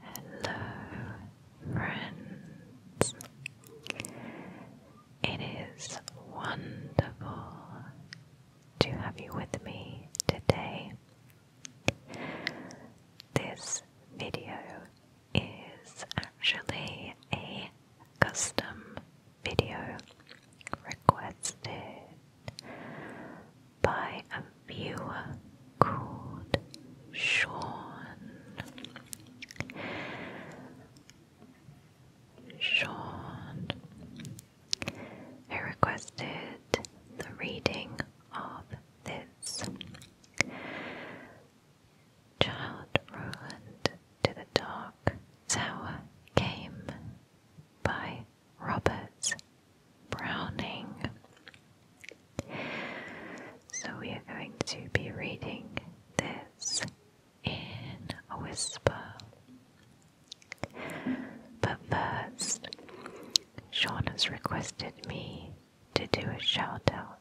Hello, friends. It is wonderful to have you with me today. This video is actually a custom video requested by a viewer called Sean. Sean, who requested the reading of this. Child Roland to the Dark Tower came by Roberts. Browning. So we are going to be reading this in a whisper. But first, Sean has requested me to do a shout out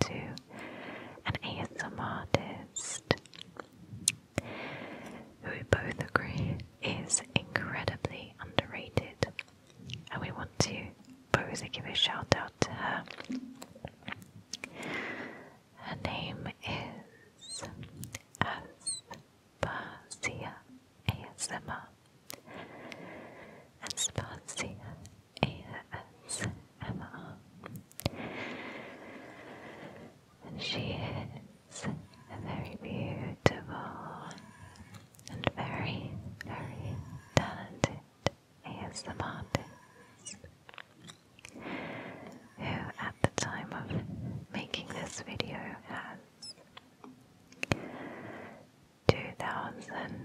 to an ASMR artist who we both agree is incredibly underrated and we want to Rosa give a shout out to her. Her name is Aspasia ASMR. Aspasia ASMR. And she is a very beautiful and very, very talented ASM artist who at the time of making this video has 2000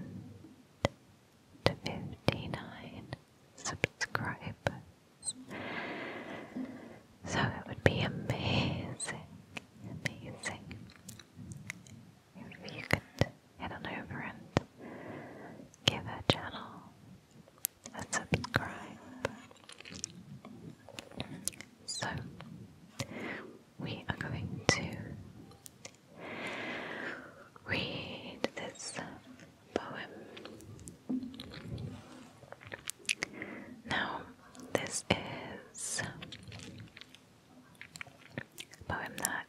subscribers. So it would be amazing, amazing if you could head on over and give our channel a subscribe. So, we are going to read this poem. Now, this is but I'm not.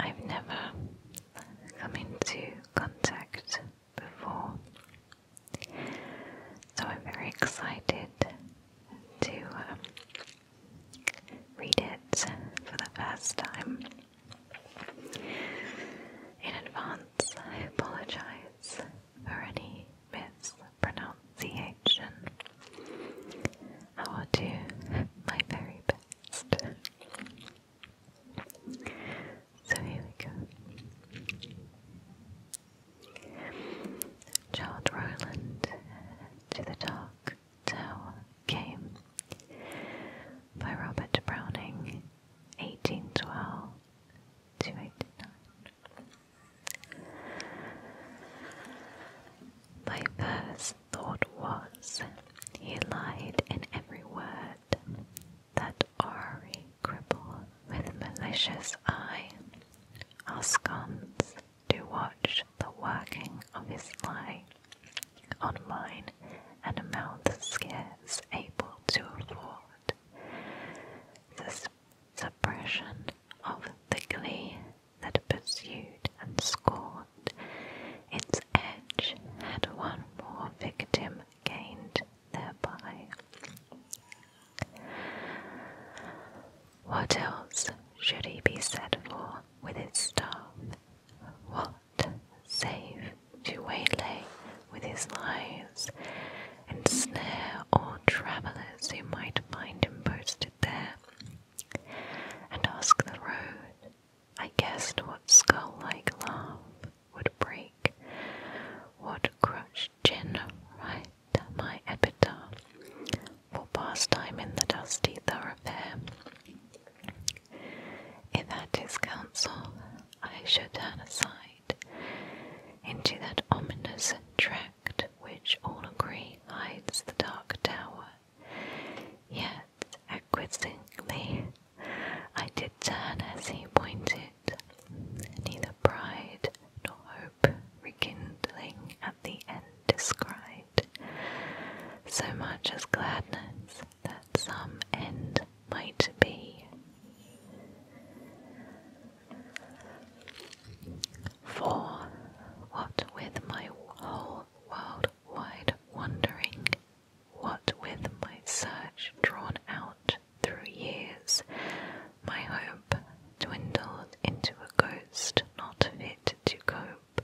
I've never come into contact before. So I'm very excited to um, read it for the first time. In advance, I apologize for any myths pronunciation. I will do my very best. So here we go. Charles Rowland to the Dark Tower Came by Robert Browning, 1812 to 89. My first thought was, he lied in every word, that awry cripple with malicious eye, Ascons to watch the working of his lie on mine, and a mouth scarce able to afford. This suppression of the glee that pursued and scorned. Its edge had one more victim gained thereby. What else should he be set for with its staff? What save to waylay with his lies and snare all travellers who might find him posted there, and ask the road. I guessed what skull like laugh would break, what crushed chin write my epitaph for pastime in the dusty thoroughfare. If at his counsel I should turn aside into that ominous tract which all agree hides the Dark Tower. Yet, acquiescingly, I did turn as he pointed, neither pride nor hope rekindling at the end described so much as gladness that some end might be. For, what with my whole world-wide wandering, what with my search drawn out through years, my hope dwindled into a ghost not fit to cope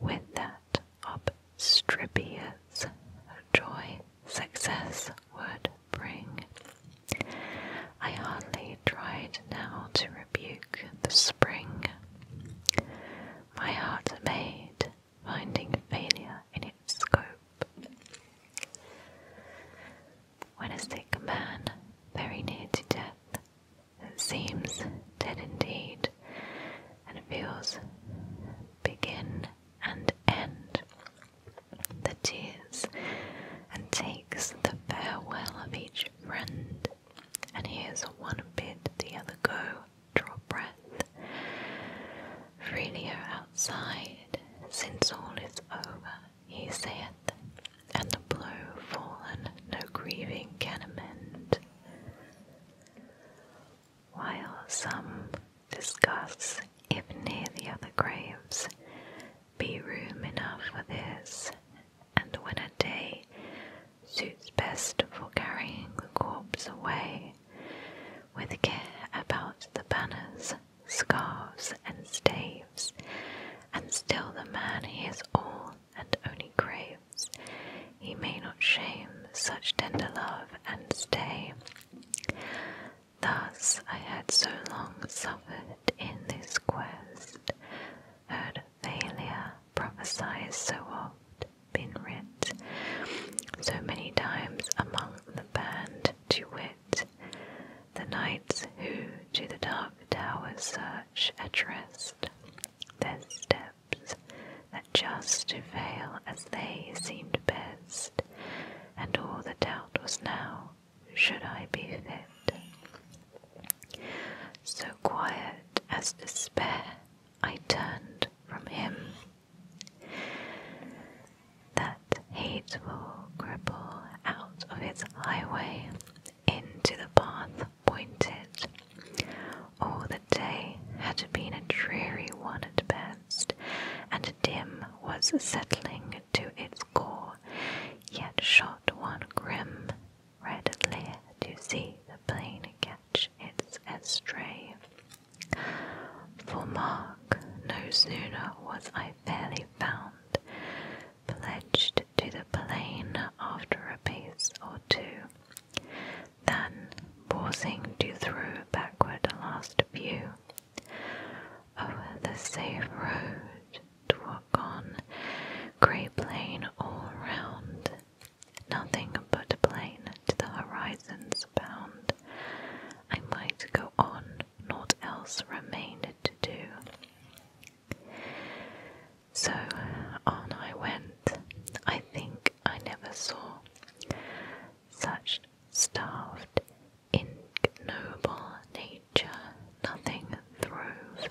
with that obstreperous joy success would bring. I hardly tried now to rebuke the spring. My heart made, finding failure in its scope. When a sick man, very near to death, that seems dead indeed, and feels begin and end the tears, and takes the farewell of each friend, and hears one bid the other go, draw breath. Freely outside, since all is over, he saith, and the blow fallen no grieving can amend. While some discuss if near the other graves be room enough for this, and when a day suits best for carrying the corpse away, with care about the banners, scarves, and staves, and still the man he is all and only craves, he may not shame such tender love and stay. Thus I had so long suffered in this quest, heard failure prophesied so oft, been writ so many times among the band to wit, the knights who to the dark towers search addressed their steps that just to fail as they seemed best, and all the doubt was now should I be fit. So quiet as despair, I turned from him. That hateful cripple out of its highway into the path pointed. All the day had been a dreary one at best, and dim was settling to its gore, yet shot one grim red leer to see the plane catch its estray. For mark, no sooner was I fairly found, pledged to the plane after a piece or two, than pausing to throw backward a last view. Over the safe road to walk on, grey plain all round, nothing but plain to the horizon's bound. I might go on, naught else remained to do. So on I went, I think I never saw such starved ignoble nature nothing throve,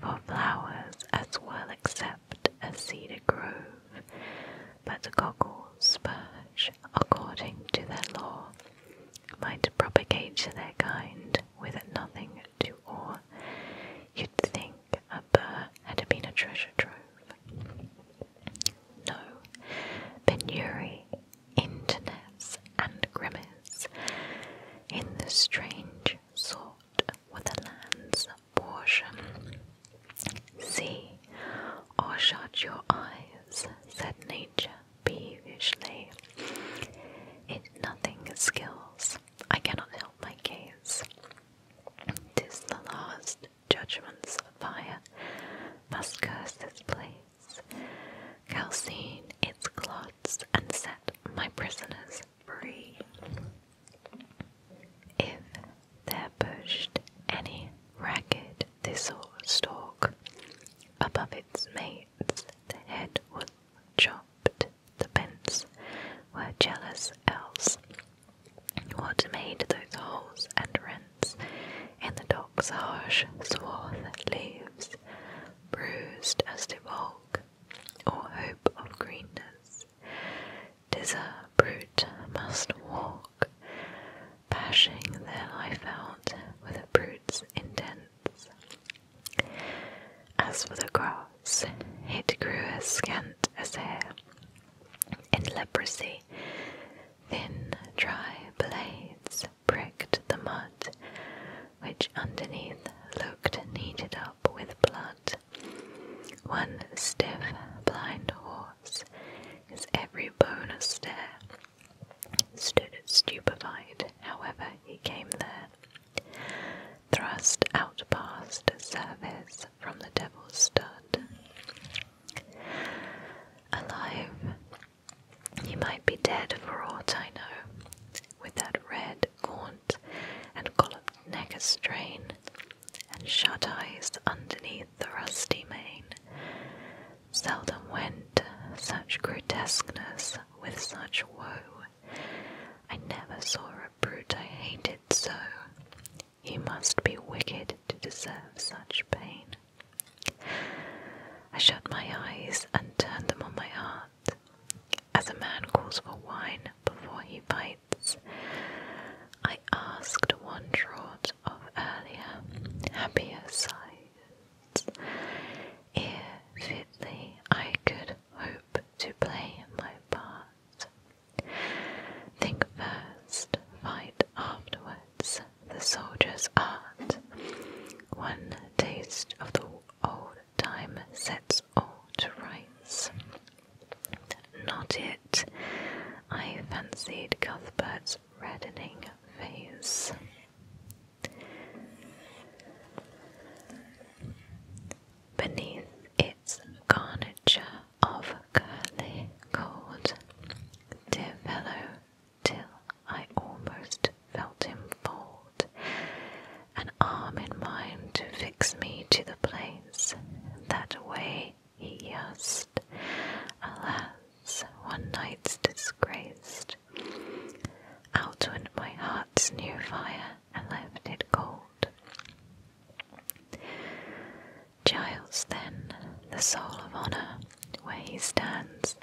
for flowers as well except a cedar grove, but goggles spurge, according to their law, might propagate their kind with nothing to awe. You'd think a burr had been a treasure trove. No, penury interness and grimace, in the strange sort with the land's portion. See, or shut your eyes, said nature peevishly. It nothing skills, I cannot help my gaze. the last judgment's fire must curse this place calcine its clots, and set my prisoners free. If there pushed any ragged thistle stalk above its mates, the head would chop The pence were jealous else. What made those holes and rents in the dog's harsh swath leaves bruised as the walk, or hope of greenness. Tis a brute must walk, bashing their life out with a brute's intents. As for the grass, it grew as scant as hair. In leprosy, thin, dry blades legs pricked the mud, which underneath looked kneaded up with blood. One stiff, blind horse, his every bone a stare, stood stupefied, however he came there, thrust out past service from the devil's stud. Alive, he might be dead for aught I know, with that red, gaunt, and colloped neck a strain, and shut eyes underneath the rusty mane. Seldom went such grotesqueness with such woe. I never saw a brute I hated so. He must be wicked to deserve such pain. I shut my eyes and turned them on my heart. As a man calls for wine before he bites, I asked one draught of earlier, happier sights. If fitly I could hope to play my part. Think first, fight afterwards, the soldier's art. One taste of the old time sets all to rights. Not it, I fancied Cuthbert's reddening face. Beneath its garniture of curly gold, dear fellow, till I almost felt him fold, an arm in mine to fix me to the place that way he used. Alas, one night's disgraced. Outwent my heart's new fire and left it cold. Giles, then, the soul of honour, where he stands,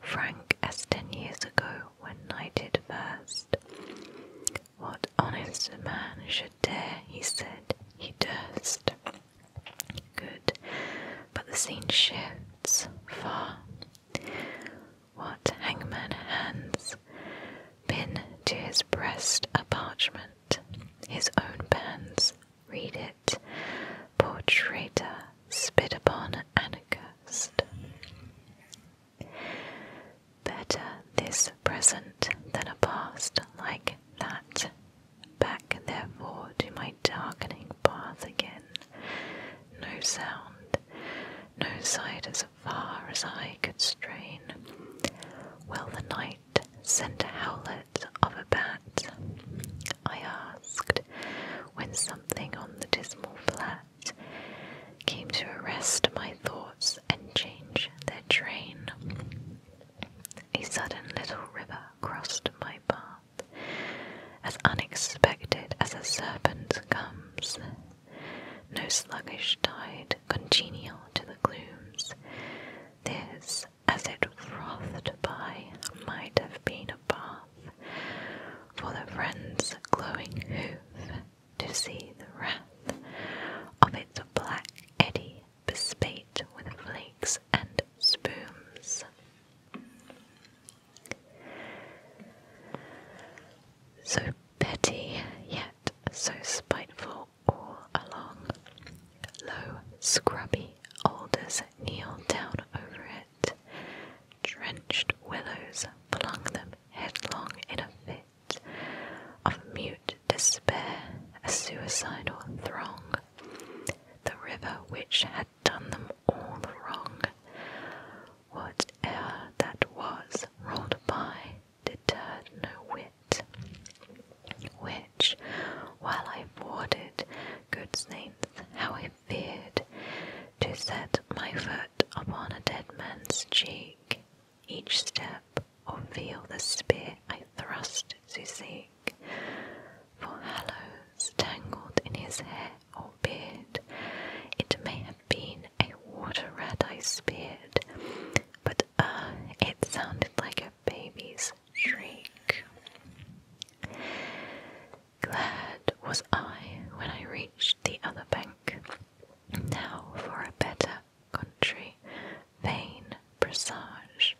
frank as ten years ago when knighted first. What honest man should dare, he said, he durst. Good, but the scene shifts far. What hangman hands pin to his breast a parchment, his own bands, read it, poor spit upon Annika, Better this present than a past like that. Back, therefore, to my darkening path again. No sound, no sight as far as I could strain. While the night sent a howlet of a bat. I asked, when something on the dismal flat came to arrest my thoughts and change their train. A sudden little river crossed my path, as unexpected as a serpent comes. No sluggish tide congenial to the glooms. This, as it frothed by, might have been a bath, for the wren's glowing hoof to see the wrath of its black eddy bespate with flakes and spumes. So petty, yet so spiteful all along, low, scrubby alders kneel down over it, drenched willows flung them headlong in a fit of mute despair, a suicidal throng. The river which had done them all the wrong, whatever that was, rolled by, deterred no wit. Which, while I boarded good saints, how I feared to set my foot upon a dead man's cheek, each step or feel the spear I thrust to seek. For hallows tangled in his hair or beard, it may have been a water rat I speared, but ah, it sounded like a baby's shriek. Glad was I when I reached the other bank. Now for a better country, vain presage.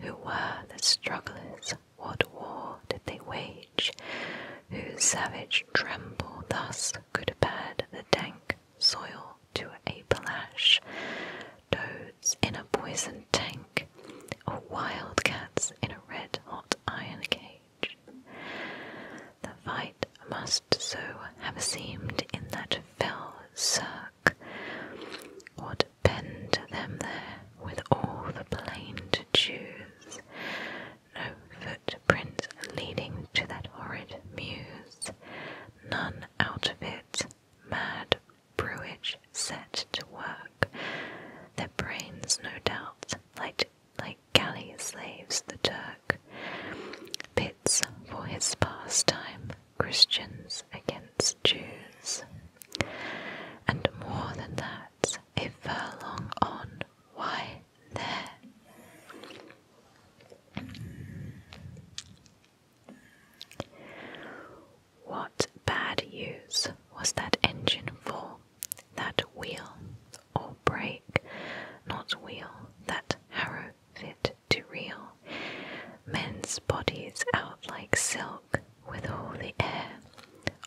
Who were the strugglers? What war did they wage? Whose savage tremble thus could pad the dank soil to a palash? Toads in a poison tank, or wildcats in a red hot iron cage. The fight must so have seemed in that fell cirque, what bend them there with all the plain to choose, no footprints leading to that horrid muse, none out of it, mad brewage set to work. Their brains, no doubt, like like galley slaves, the Turk. Pits for his pastime, Christians against Jews. And more than that, a furlong on, why there? What bad use was that engine for? that wheel, or break, not wheel, that harrow fit to reel. Men's bodies out like silk, with all the air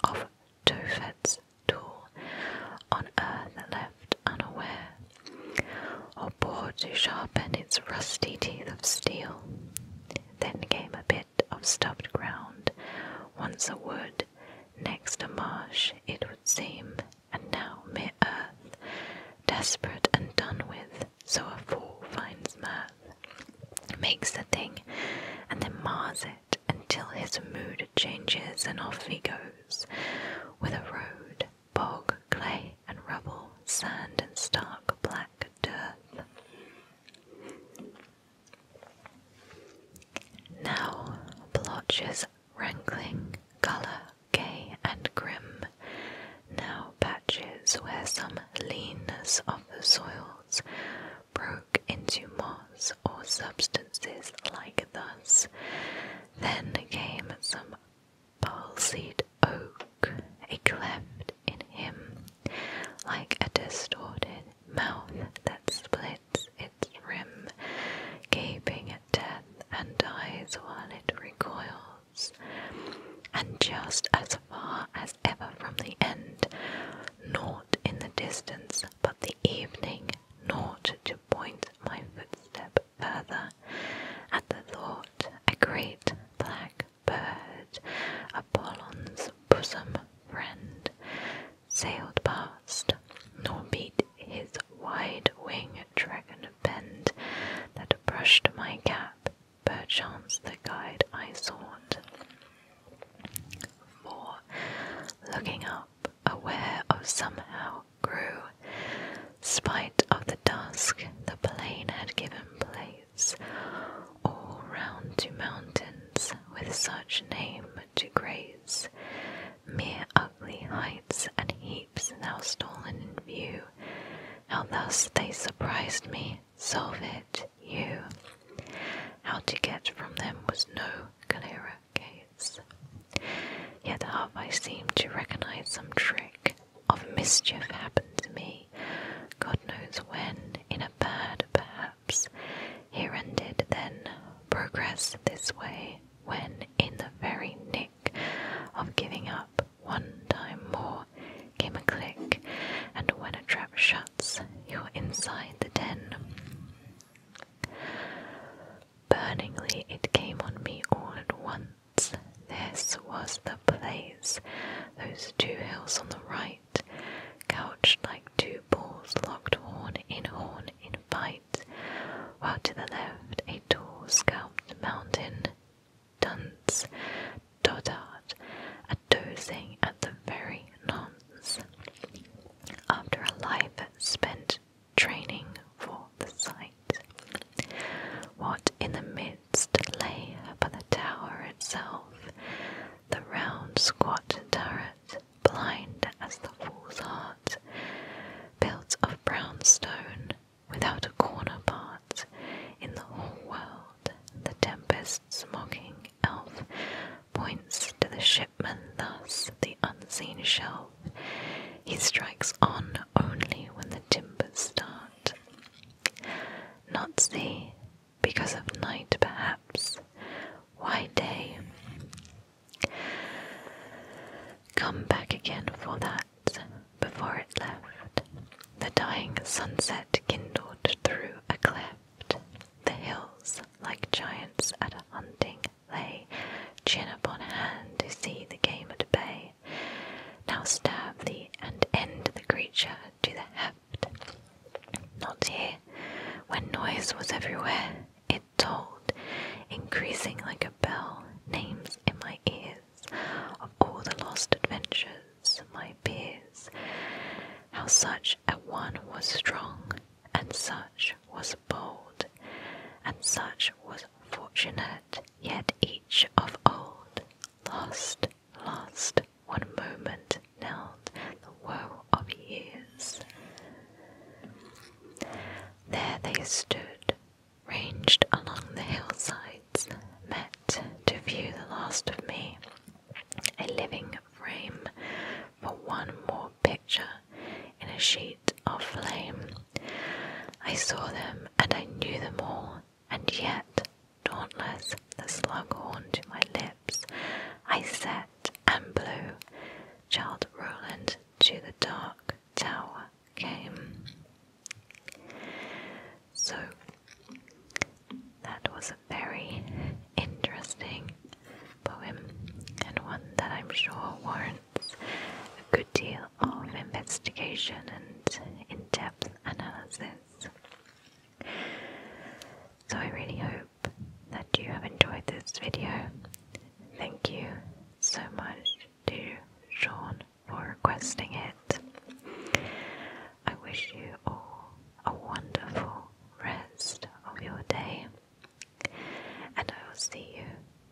of Tophet's tool, on earth left unaware, or bored to sharpen its rusty teeth of steel then came a bit of stubbed ground, once a wood, next a marsh, it would seem, and now mere earth, desperate and done with, so a fool finds mirth, makes a thing, and then mars it until his mood changes, and off he goes, with a road, bog, clay, and rubble, sand, and stark black dirt. Now, blotches rankling, colour gay and grim, now patches where some leanness of the soils broke into moss or substances like thus. Then came some palsied oak, a cleft in him, like a distorted mouth that splits its rim, gaping at death and dies while it recoils. And just as far as ever from the end, naught in the distance but the evening, naught to point my footstep further. At the thought, a great black bird, Apollon's bosom friend, sailed past, nor beat his wide winged dragon bend that brushed my cap, perchance the guide I sought. For, looking up, aware of somehow grew, spite of the dusk the plain had given place, all round to mountains with such name to graze, mere ugly heights and heaps now stolen in view, how thus they surprised me, solve it, you. How to get from them was no clearer case. Yet have I seemed to recognize some trick of mischief happened to me, God knows when, in a bad, perhaps perhaps Heron did then progress this way when, in the very nick of giving up one time more, came a click, and when a trap shuts, you're inside the den. Burningly, it came on me all at once. This was the place. Those two hills on the right couched like two bulls locked horn in horn in fight, while to the left a tall scalped mountain Dun's dotard, a dozing at the very nonce. After a life spent training for the sight, what in the midst lay but the tower itself, the round squat turret blind as the fool's heart, built of brown stone, without a corner part, in the whole world, the tempest's mocking elf points to the shipman thus, the unseen shelf. He strikes on only when the timbers start. Not see, because of night, perhaps. Why day? Come back again for that. Before it left, the dying sunset kindled through a cleft. The hills, like giants at a hunting, lay chin upon hand to see the game at bay. Now stab thee and end the creature to the not here, when noise was everywhere, it told, increasing like a bell, names in my ears of all the lost adventures, my peers, how such a one was strong, and such was bold, and such was fortunate, yet each of old, lost, lost, one moment knelled the woe of years. There they stood, ranged along the hillsides, met to view the last of me, a living frame for one more picture in a sheet of flame. I saw them and I knew them all, and yet, dauntless, the slughorn to my lips. I set and blew. Child Roland to the dark tower came. So that was a very interesting poem and one that I'm sure warrants a good deal of investigation and in depth analysis. So I really hope that you have enjoyed this video. Thank you so much to Sean for requesting it. I wish you all a wonderful rest of your day, and I will see you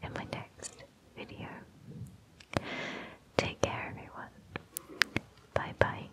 in my next video. Take care, everyone. Bye bye.